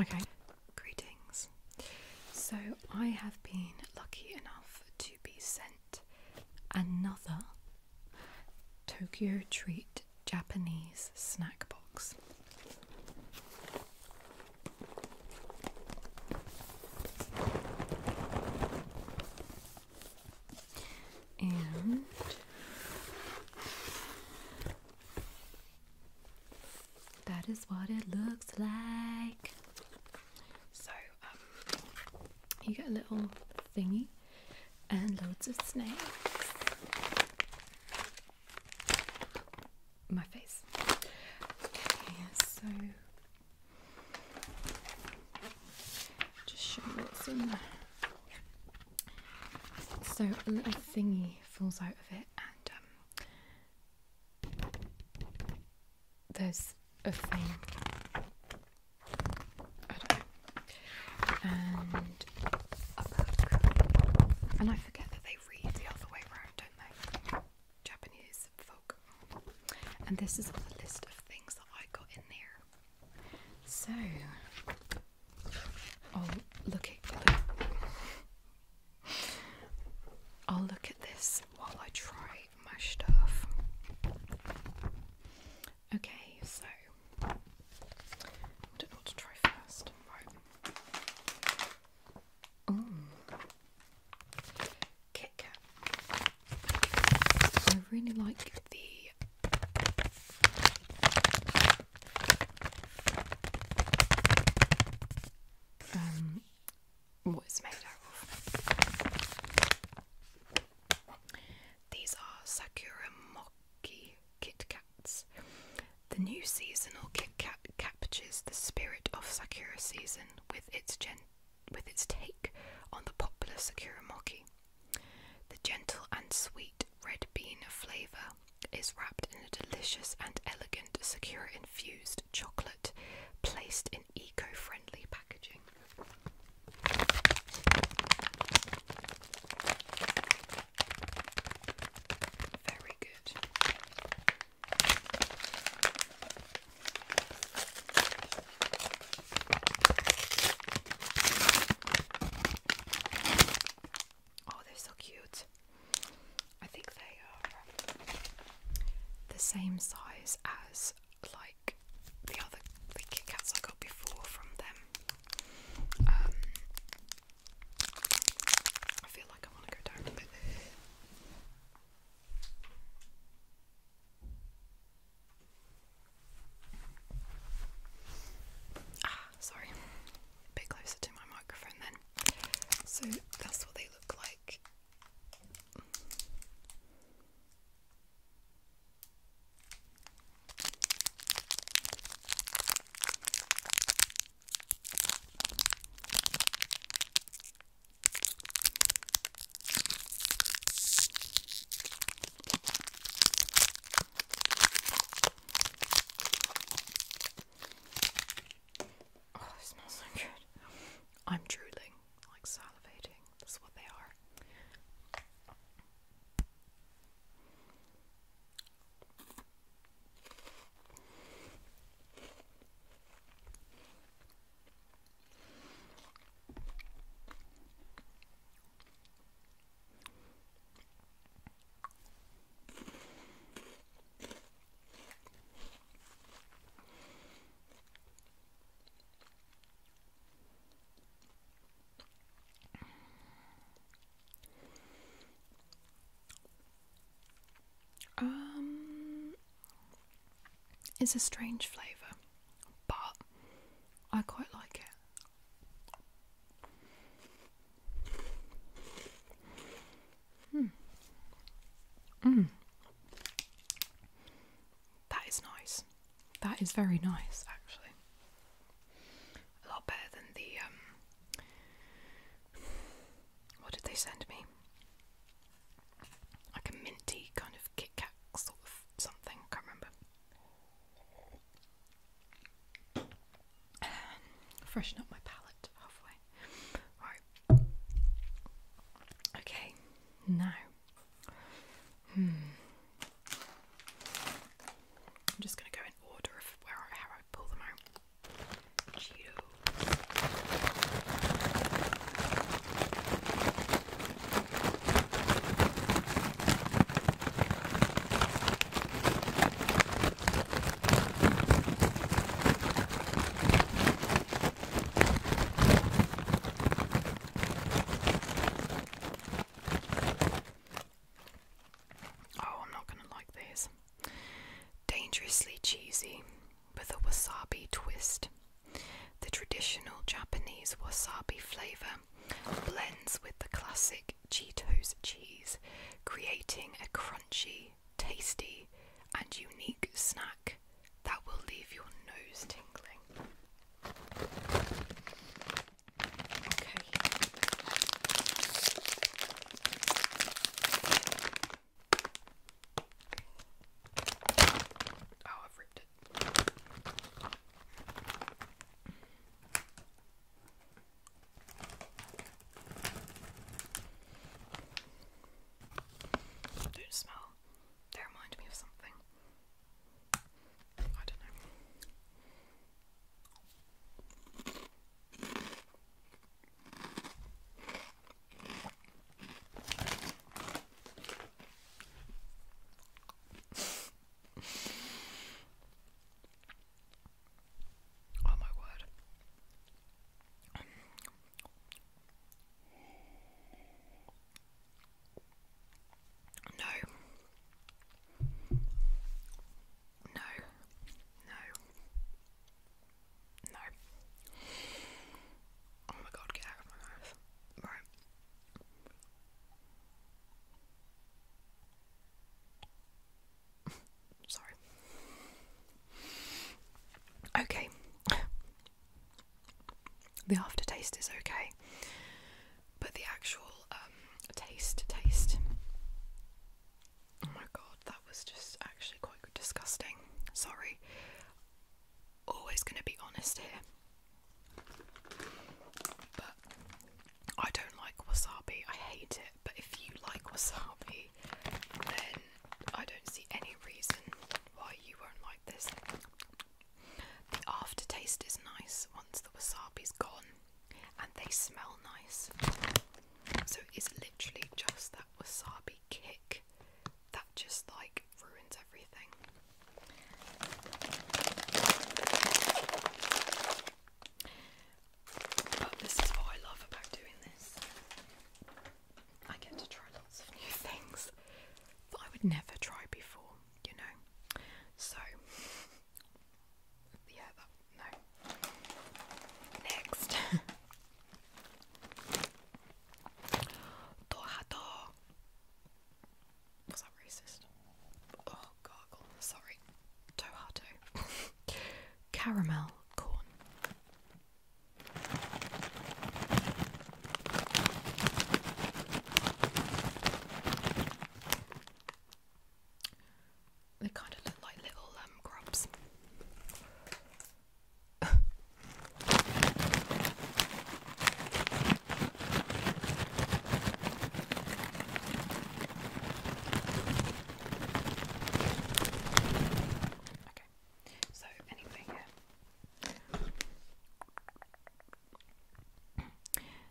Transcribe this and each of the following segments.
Okay, greetings. So I have been lucky enough to be sent another Tokyo Treat Japanese snack box. And that is what it looks like. So um, you get a little thingy and loads of snakes. My face. so just show you what's in So a little thingy falls out of it, and um, there's a thing. And a book. And I forget that they read the other way around, don't they? Japanese folk. And this is the list of things that I got in there. So, I'll look at. I'll look at this while I try quite mashed Okay, so I don't know what to try first. Mm. Kit Kat. I really like the um, what made out of. These are Sakura Mochi Kit Kats. The new seasonal Kit Kat captures the spirit of Sakura season with its gen with its take on the popular Sakura Mochi. The gentle and sweet red bean flavour is wrapped in a delicious and elegant Sakura infused chocolate placed in eco-friendly packaging. Very good. Oh, they're so cute. I think they are the same size as like the other the Kit Kats I got before from them. Um, I feel like I want to go down a bit. Ah, sorry. A bit closer to my microphone then. So that's what they look like. Oh, it smells so good. I'm drooling like salivating. That's what they are. Um, it's a strange flavour, but I quite like it. Hmm. Mm. That is nice. That is very nice, actually. A lot better than the um, What did they send me? Like a minty kind of Kit sort of something. Can't remember. Freshen up my palate halfway. Right. Okay, now hmm. I'm just going to go in order of where I, how I pull them out. Oh, I'm not going to like these. Dangerously cheesy with a wasabi twist. The traditional Japanese wasabi flavour blends with the classic Cheetos cheese, creating a crunchy, tasty and unique snack that will leave your nose tingling. Okay. Oh, I've ripped it. Don't smell. They remind me of something. I don't know. oh my word. No. No. No. No. Oh my god, get out of my mouth. Sorry. Okay. The aftertaste is okay, but the actual um, taste, taste. Oh my god, that was just actually quite disgusting. Sorry. Always going to be honest here. But I don't like wasabi. I hate it. But if you like wasabi, then I don't see any reason why you won't like this. The aftertaste is nice once the wasabi's gone, and they smell nice. So it's literally just that wasabi kick that just like ruins everything. But this is what I love about doing this. I get to try lots of new things that I would never try before, you know. So, yeah, that, no. Next. Tohato. Was that racist? Oh, gargle. Sorry. Tohato. Caramel corn. They kind of look like little um, grubs. okay.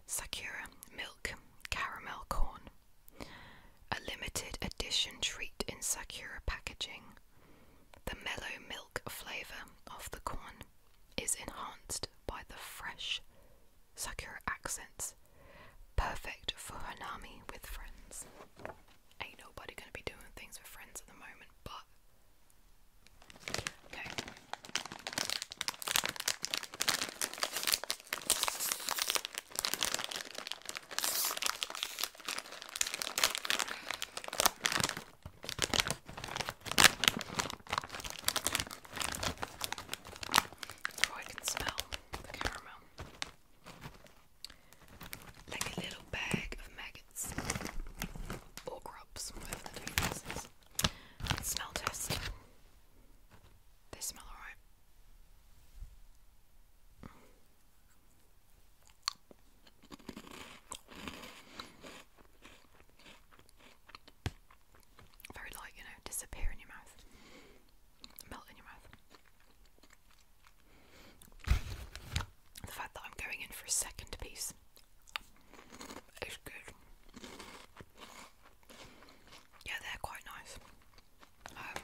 Sakura milk caramel corn. A limited edition treat in Sakura packaging. The mellow milk flavour of the corn is enhanced by the fresh Sakura accents, perfect for Hanami with friends ain't nobody gonna be doing things with friends at the moment, but okay. Oh, I can smell the caramel like a little bag of maggots or grubs, Smell test. They smell alright. Very light, you know, disappear in your mouth, melt in your mouth. The fact that I'm going in for a second piece is good. Yeah, they're quite nice. Um,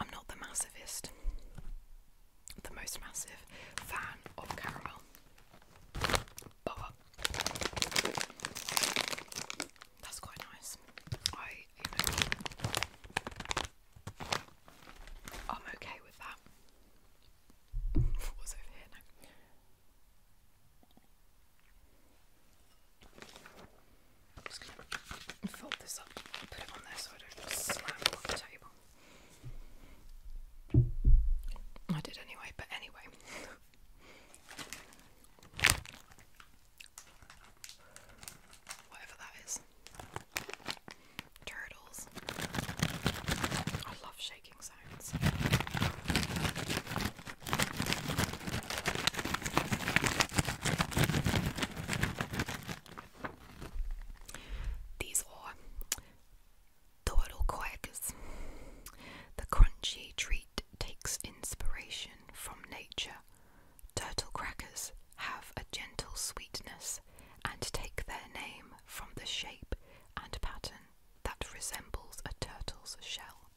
I'm not the massivist, the most massive fan of caramel, that's quite nice. I am okay with that. what over here now? just fold this up put it on there so I don't slam on the table. I did anyway, but anyway. Whatever that is. Turtles. I love shaking sounds. These are turtle quackers. The crunchy treat takes inspiration from nature Turtle crackers have a gentle sweetness and take their name from the shape and pattern that resembles a turtle's shell.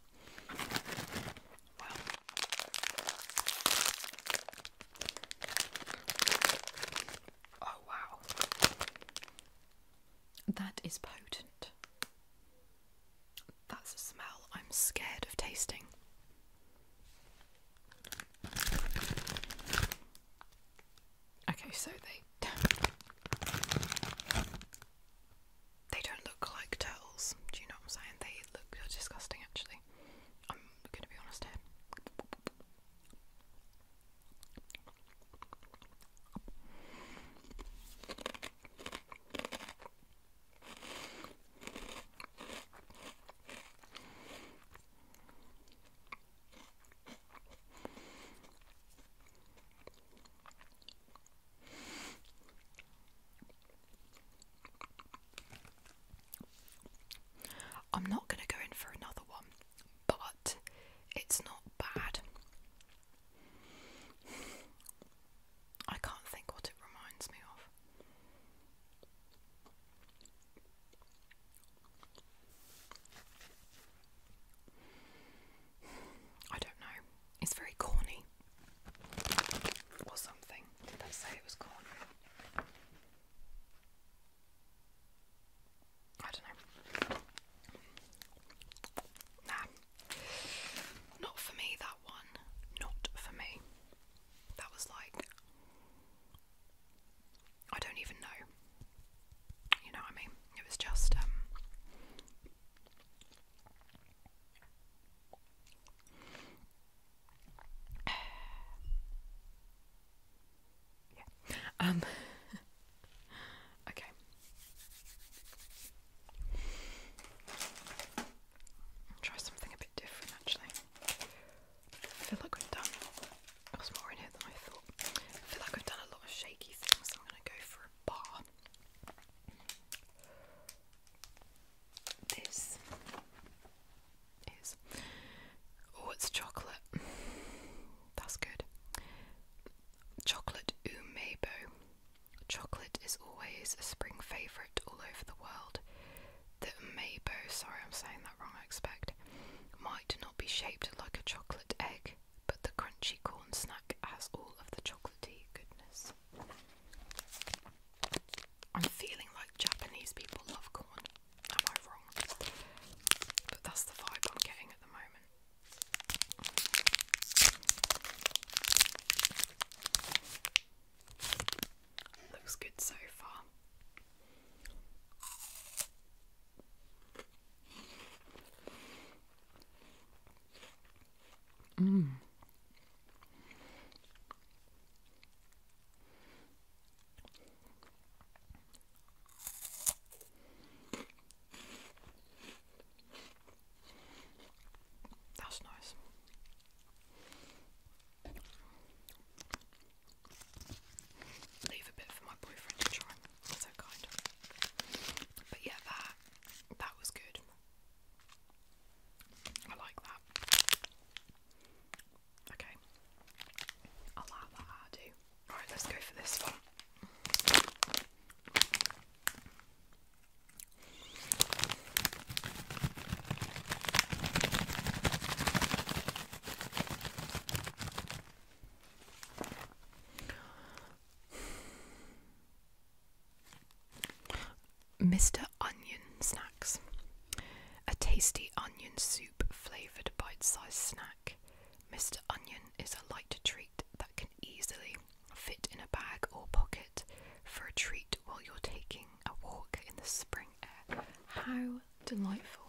oh wow. That is potent. That's a smell I'm scared of tasting. Okay, so they they don't look like turtles. Do you know what I'm saying? They look disgusting, actually. I'm going to be honest here. I'm not going to go in for another one, but it's not bad. I can't think what it reminds me of. I don't know. It's very corny. Or something. Did they say it was corny? I don't know. Nah, not for me, that one. Not for me. That was like. I don't even know. You know what I mean? It was just. Um, yeah. Um. okay i try something a bit different actually. feel like we've done, there's more in here than I thought. I feel like I've done a lot of shaky things, I'm going to go for a bar. This is. Oh, it's chocolate. That's good. Chocolate umebo. Chocolate is always a spring favourite all over the world. The Amiibo, sorry I'm saying that wrong, I expect, might not be shaped like a chocolate egg, but the crunchy corn snack has all of the chocolatey goodness. I'm feeling like Japanese people love corn. Am I wrong? But that's the vibe I'm getting at the moment. Looks good so far. Mm. That's nice. Leave a bit for my boyfriend to try. So kind. But yeah, that that was good. I like that. Okay. I'll that I do. Alright, let's go for this one. Mr. Onion Snacks. A tasty onion soup flavoured bite sized snack. Mr. Onion is a light treat that can easily fit in a bag or pocket for a treat while you're taking a walk in the spring air. How delightful!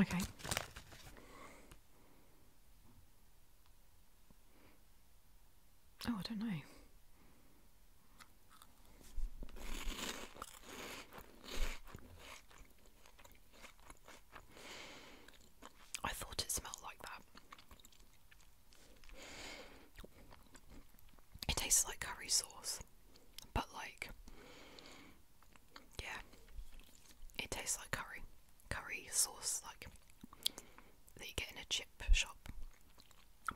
okay. Oh, I don't know. I thought it smelled like that. It tastes like curry sauce, but like, yeah, it tastes like curry, curry sauce, like that you get in a chip shop,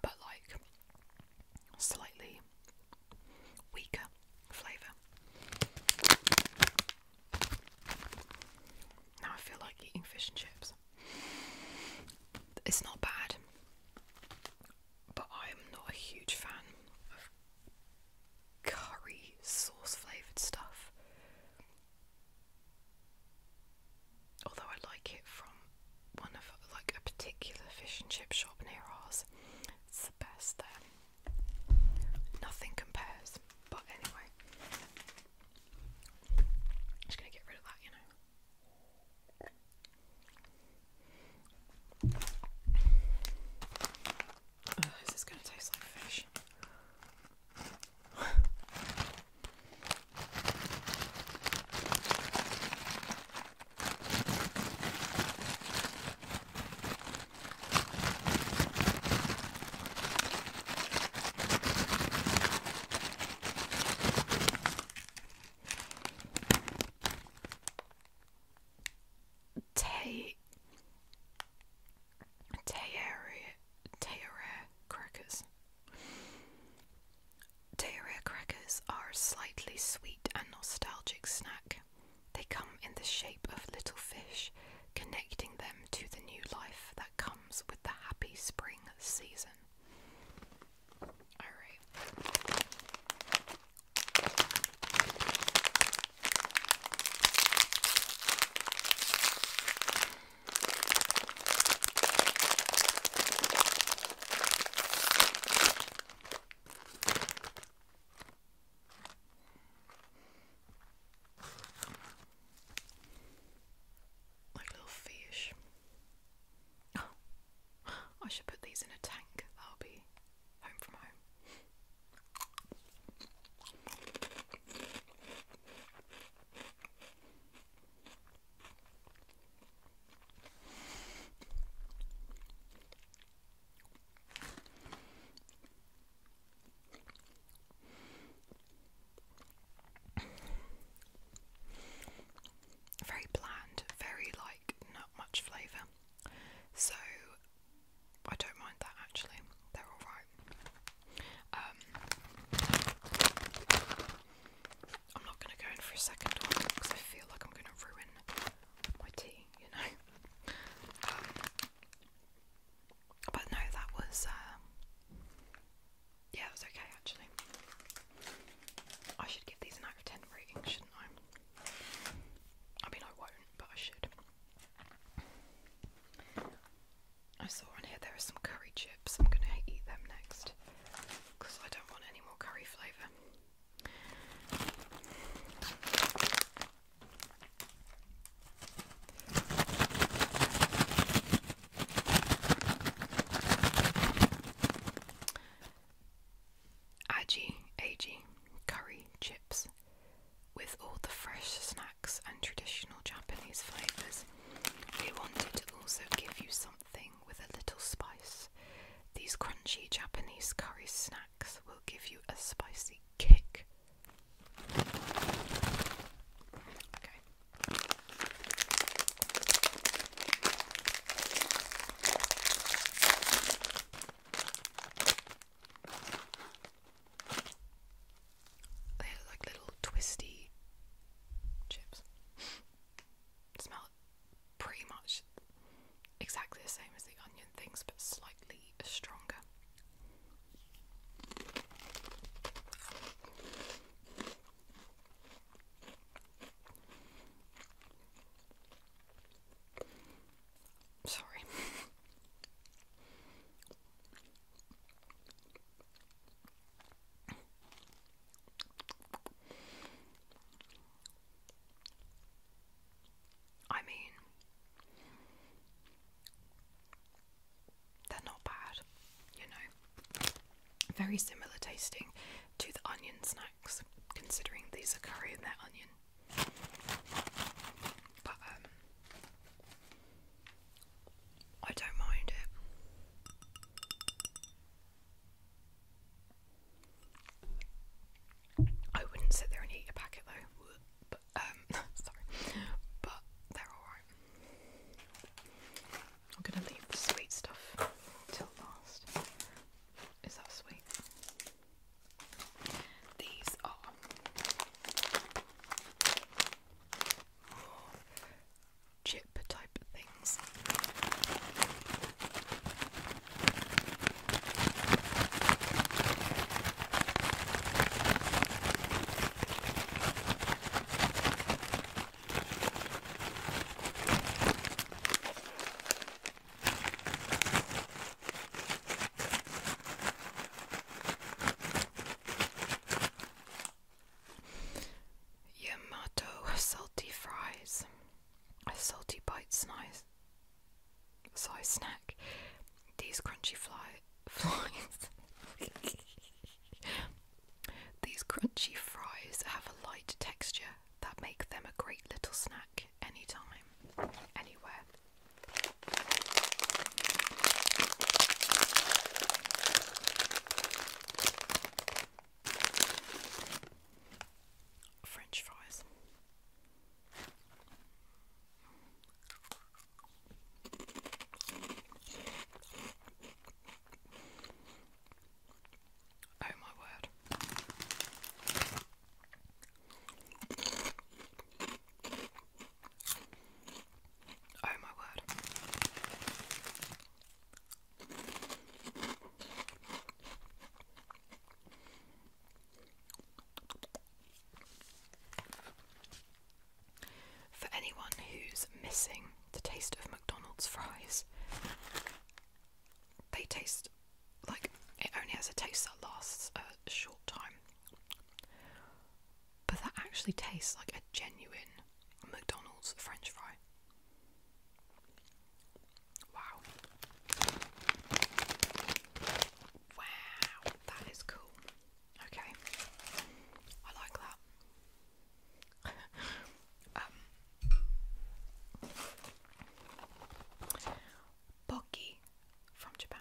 but like slightly weaker flavour. Now I feel like eating fish and chips. It's not bad, but I'm not a huge fan of curry sauce flavoured stuff. Although I like it from one of like a particular fish and chip shop near ours, it's the best there. Nothing compares. But anyway, just gonna get rid of that, you know. Oh, this is going to taste like fish. Take Tayari Tearare crackers. Tearare crackers are a slightly sweet and nostalgic snack. They come in the shape of little fish, connecting them to the new life that comes with the happy spring season. Alright. Like little fish. I should put these in a tank. That'll be home from home. Very bland, very like not much flavour. So I don't mind that actually. They're alright. Um, I'm not going to go in for a second one because I feel like I'm going to ruin my tea, you know. Um, but no, that was um, yeah, it was okay actually. I should give these an out of ten rating, shouldn't I? I mean, I won't, but I should. I saw on here there are some curry chips. I'm gonna eat them next because I don't want any more curry flavour. Agi, Agi, curry chips with all the fresh and traditional Japanese flavours, we wanted to also give you something with a little spice. These crunchy Japanese curry snacks will give you a spicy kick. They look like little twisty chips. Smell pretty much exactly the same as the onion things, but slightly stronger. Sorry. I mean, they're not bad, you know. Very similar tasting to the onion snacks, considering these are curry and they onion. But, um, I don't mind it. I wouldn't sit there and eat a packet though. But um, sorry, but they're alright. I'm gonna leave the sweet stuff till last. Is that sweet? These are chip type things. Yamato salty fries, a salty bite size size snack. These crunchy fries. These crunchy fries have a light texture that make them a great little snack anytime, anywhere. French fries. Oh, my word. Oh my word. For anyone who's missing the taste of McDonald's fries, they taste like it only has a taste that lasts a short time but that actually tastes like a genuine McDonald's French fry. Wow. Wow, that is cool. Okay, I like that. um, Boggy from Japan.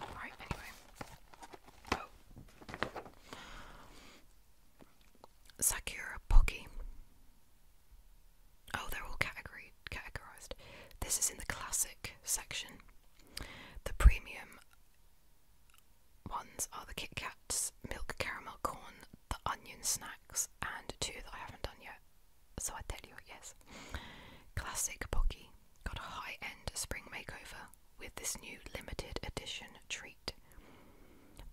Alright, anyway. Oh. Sakura Pocky. Oh, they're all categorized. This is in the classic section. The premium ones are the Kit Kats, milk caramel corn, the onion snacks, and two that I haven't done yet. So I tell you, yes. Classic Pocky got a high end spring makeover with this new limited edition treat.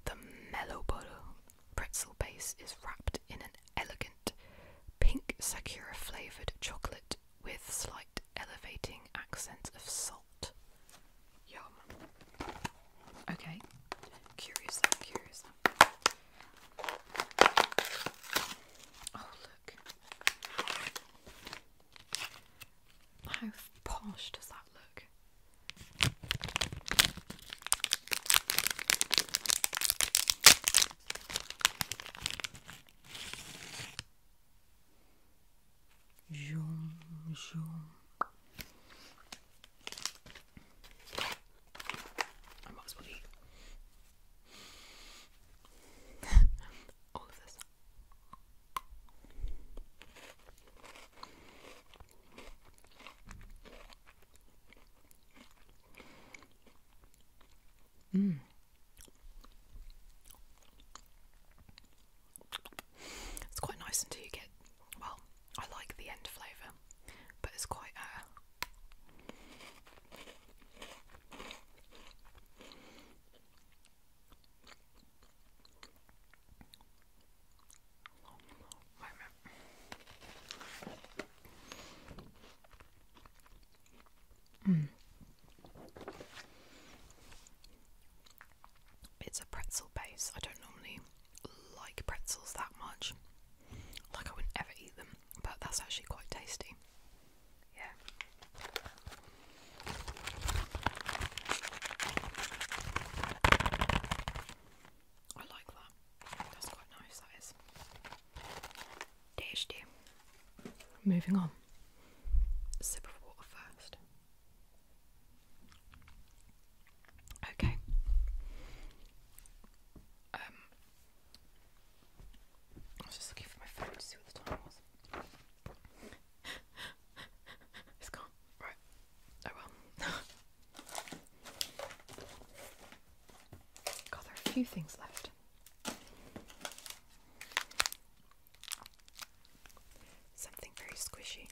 The Mellobolo pretzel base is wrapped in an elegant pink Sakura flavoured chocolate with slight elevating accents of salt. Yum. Okay. Curious curious Oh, look. How posh does that look? Zoom, zoom. I might as well all of this. Mm. It's quite nice until you well, I like the end flavour, but it's quite. Uh, Mm. It's a pretzel base. I don't normally like pretzels that much. Like I wouldn't eat them, but that's actually quite tasty. Yeah. I like that. That's quite nice, that is. DHD. Moving on. A sip of water first. Okay. Um, I was just looking for my phone to see what the time was. it's gone. Right. Oh well. God, there are a few things left. Something very squishy.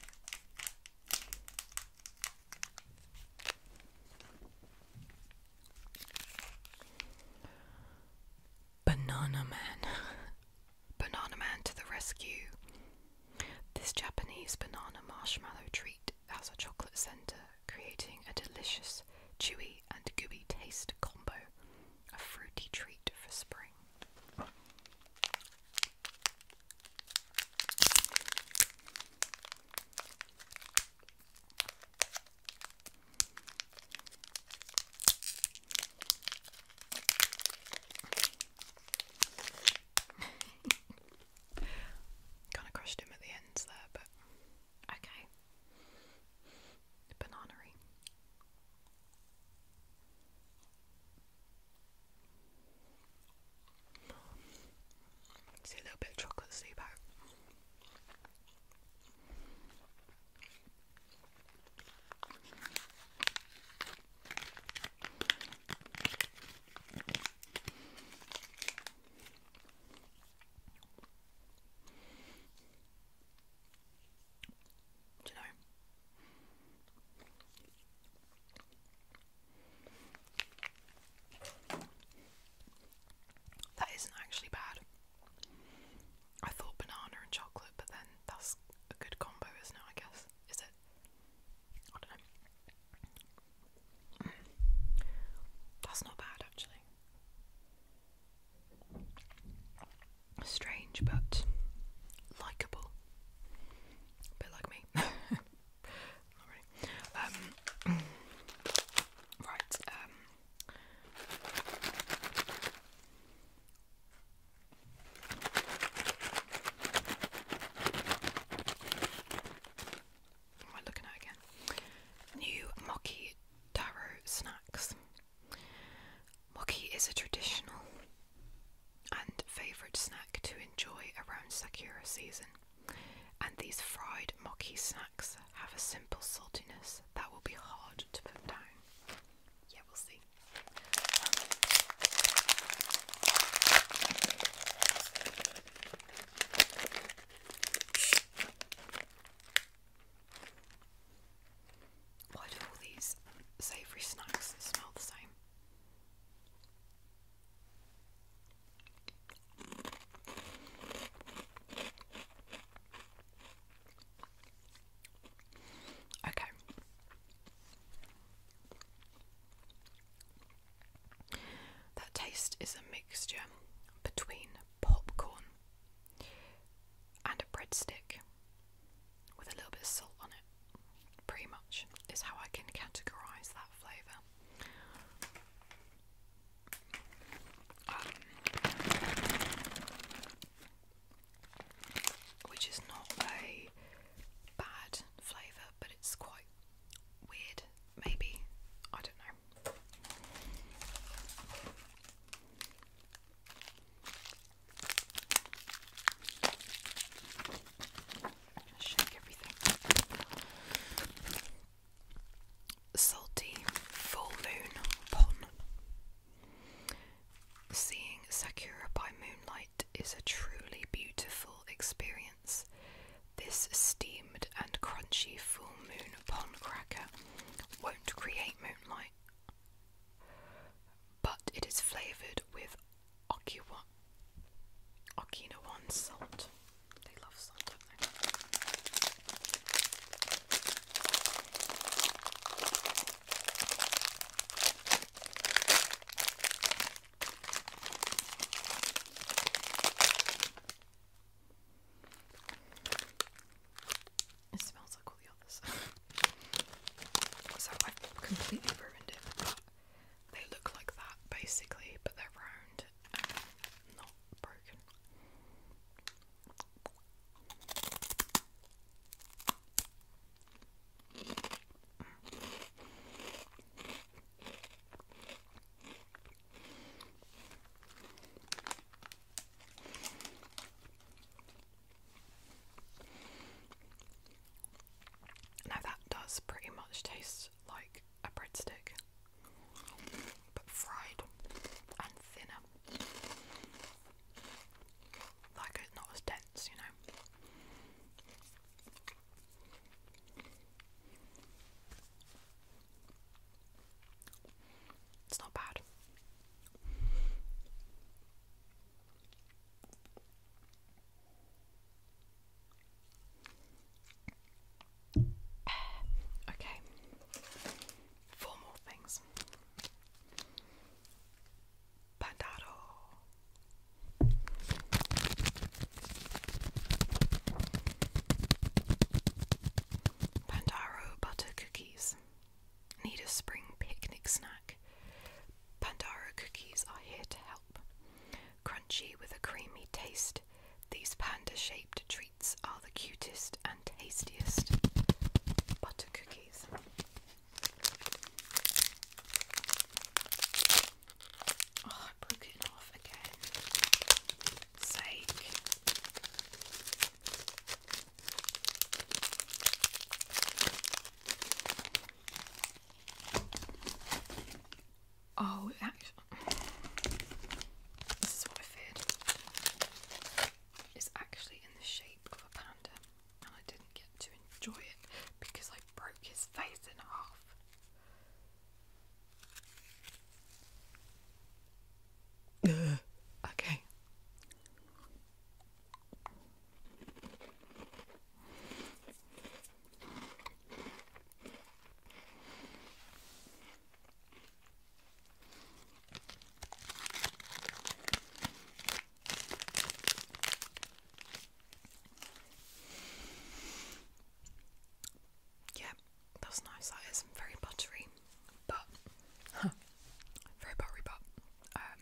Banana Man. Banana Man to the rescue. This Japanese banana marshmallow treat has a chocolate centre, creating a delicious, chewy, and gooey taste combo. A fruity treat for spring. kind of crushed him at the ends there, but okay. Bananery. See a little bit of chocolate sleep you know? That isn't actually bad. I thought banana and chocolate, but then that's a good combo, isn't I guess. Is it? I don't know. That's not bad, actually. Strange, but likable. A bit like me. Um, right. Um, what am I looking at again? New Mocky Taro snacks. Mocky is a traditional and favourite snack to enjoy around Sakura season, and these fried mocky snacks have a simple saltiness that will be hard to put down yeah, we'll see. Why do all these savoury snacks smell the same? Okay. That taste is a mixture between popcorn and a breadstick with a little bit of salt on it. Pretty much is how I can categorize that flavor. Um, which is not a bad flavour, but it's quite weird, maybe. I don't know. Shake everything. Salty full moon pon. Seeing Sakura by moonlight is a truly beautiful experience. This steamed and crunchy full moon pond cracker won't create moonlight, but it is flavoured with Okiwa Okinawan salt. They love salt, don't they? It smells like all the others. so i completely ruined it. they look like that basically, but they're round not broken. Now that does pretty much taste like a breadstick, but fried and thinner. Like it's not as dense, you know. It's not bad. okay four more things. Pandado. Pandaro butter cookies. Need a spring picnic snack. Pandaro cookies are here to help. Crunchy with a creamy taste, these panda shaped treats are the cutest and tastiest butter cookies. Oh, I broke it off again. Sake. Oh, this is what I feared is actually in the shape of a panda, and I didn't get to enjoy it because I broke his face in half. okay. Yeah, that's nice. That is very buttery, but very buttery, but um,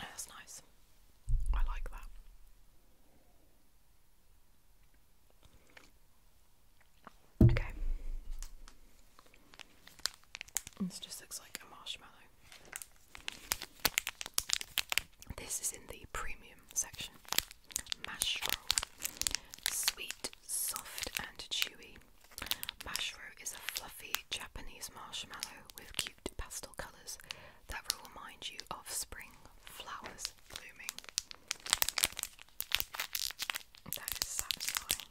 that's nice. I like that. Okay. This just looks like a marshmallow. This is in the premium section. Mash Sweet, soft, and chewy. Mash is a fluffy Japanese marshmallow with cute pastel colours that remind you of spring flowers blooming. That is satisfying.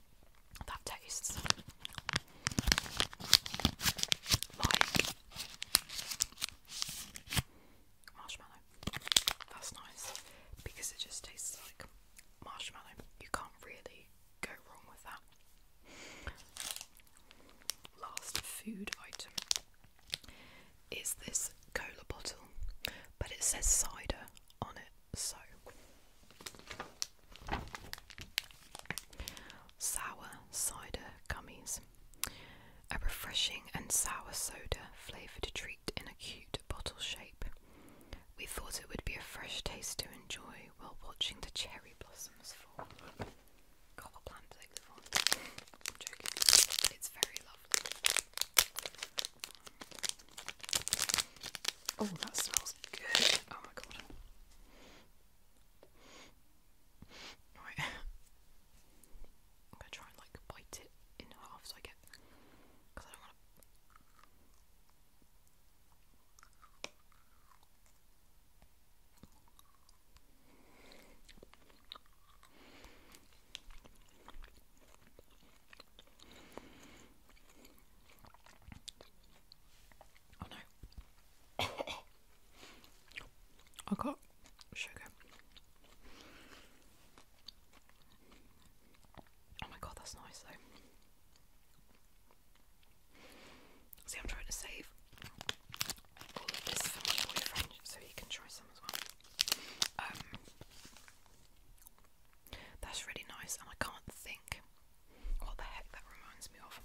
That tastes like marshmallow. That's nice because it just tastes like marshmallow. You can't really go wrong with that. Last food item is this cola bottle, but it says cider on it. So sour cider gummies. A refreshing and sour soda flavoured treat in a cute bottle shape. We thought it would be a fresh taste to enjoy while watching the cherry blossoms fall. God, what they live joking. It's very lovely. Oh, that smells smells good. Oh my god. Right. I'm gonna try and like bite it in half so I get. Because I don't want to. Oh no. I got sugar. Oh my god, that's nice though. See, I'm trying to save all of this for my boyfriend so he can try some as well. Um, that's really nice, and I can't think what the heck that reminds me of.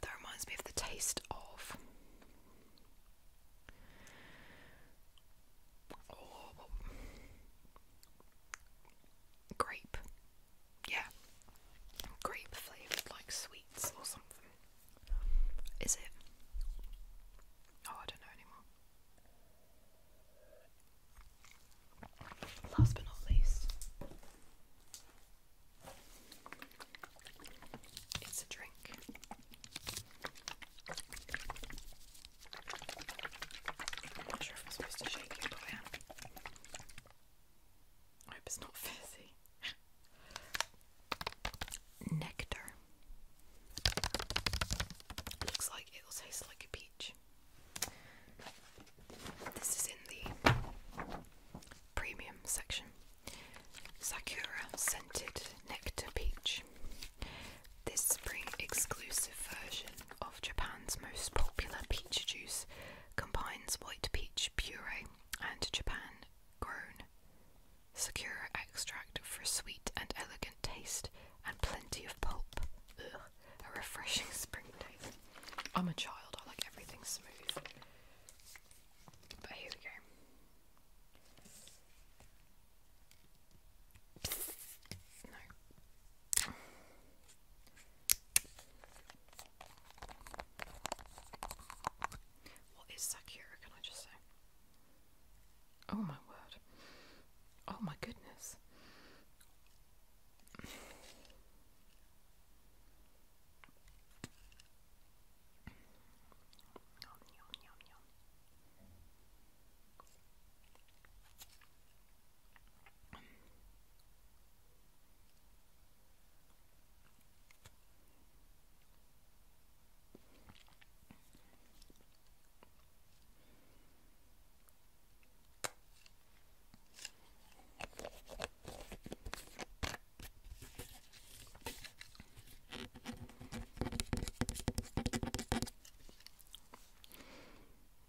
That reminds me of the taste of. Oh, grape. Yeah. Grape flavoured like sweets or something. Is it? Oh, I don't know anymore. Last but not least, it's a drink. I'm not sure if I'm supposed to shake it, but I am. hope it's not fizzy nectar. Looks like it'll taste like a peach. This is in the premium section. Sakura scented nectar peach. This spring exclusive version of Japan's most popular peach juice combines white peach puree and Japan grown Secure extract for sweet and elegant taste, and plenty of pulp. Ugh, a refreshing spring day. I'm a child, I like everything smooth. But here we go. No. What is Sakura, can I just say? Oh my word. Oh my goodness.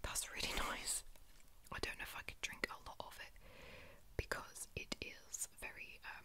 That's really nice. I don't know if I could drink a lot of it because it is very um,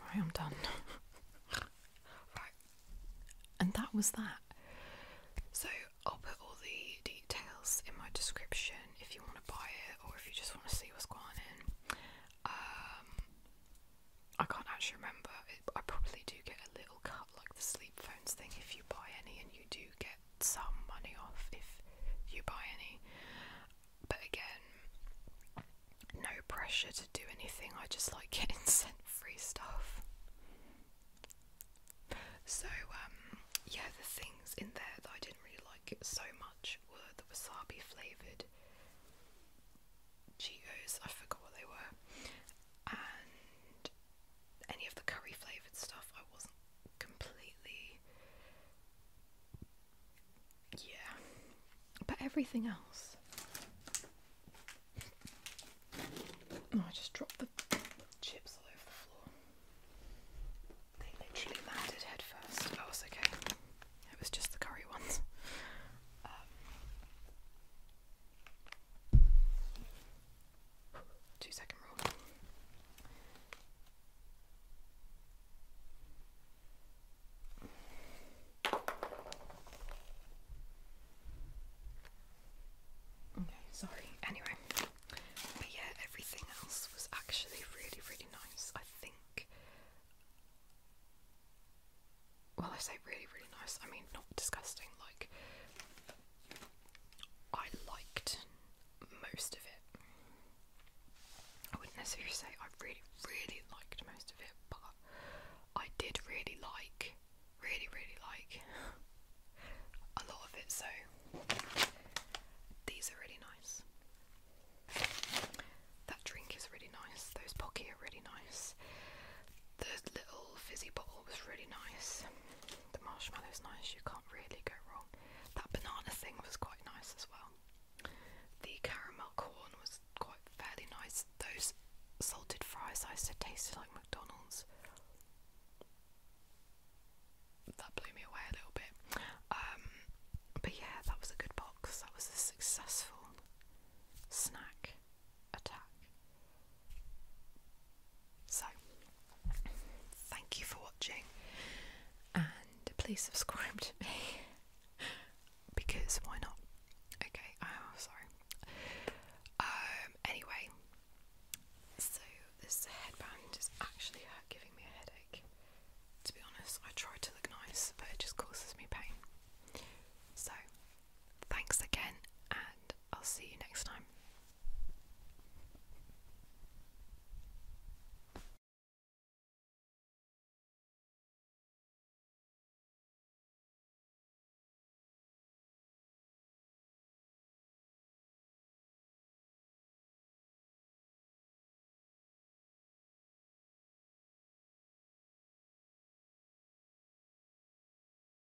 Right, I'm done. right, and that was that. So I'll put all the details in my description if you want to buy it or if you just want to see what's going on Um, I can't actually remember. I probably do get a little cut like the sleep phones thing if you buy any, and you do get some money off if you buy any. But again, no pressure to do anything, I just like getting sent free stuff. So, um, yeah, the things in there that I didn't really like it so much were the wasabi flavoured Cheetos, I forgot what they were, any of the curry flavoured stuff, I wasn't completely. Yeah. But everything else. Oh, I just dropped the chips all over the floor. They literally landed head first. Oh, it's okay. It was just the curry ones. Um, Two second rule. Okay, sorry. Anyway, but yeah, everything else was actually really, really nice. I think. Well, I say really, really nice. I mean, not disgusting. Like, I liked most of it. I wouldn't necessarily say I really, really liked most of it, but I did really like, really, really like a lot of it, so these are really nice. That drink is really nice, those pocky are really nice. The little fizzy bottle was really nice. The marshmallow's nice, you can't really go wrong. That banana thing was quite nice as well. The caramel corn was quite fairly nice. Those salted fries I said tasted like McDonald's. That blew me away a little bit. Um, but yeah, that was a good box. That was a successful snack attack. So, thank you for watching, and please subscribe to me because why not? Okay, oh, sorry. Um, anyway, so this headband is actually giving me a headache. To be honest, I try to look nice, but it just causes me pain. So, Thanks again, and I'll see you next time.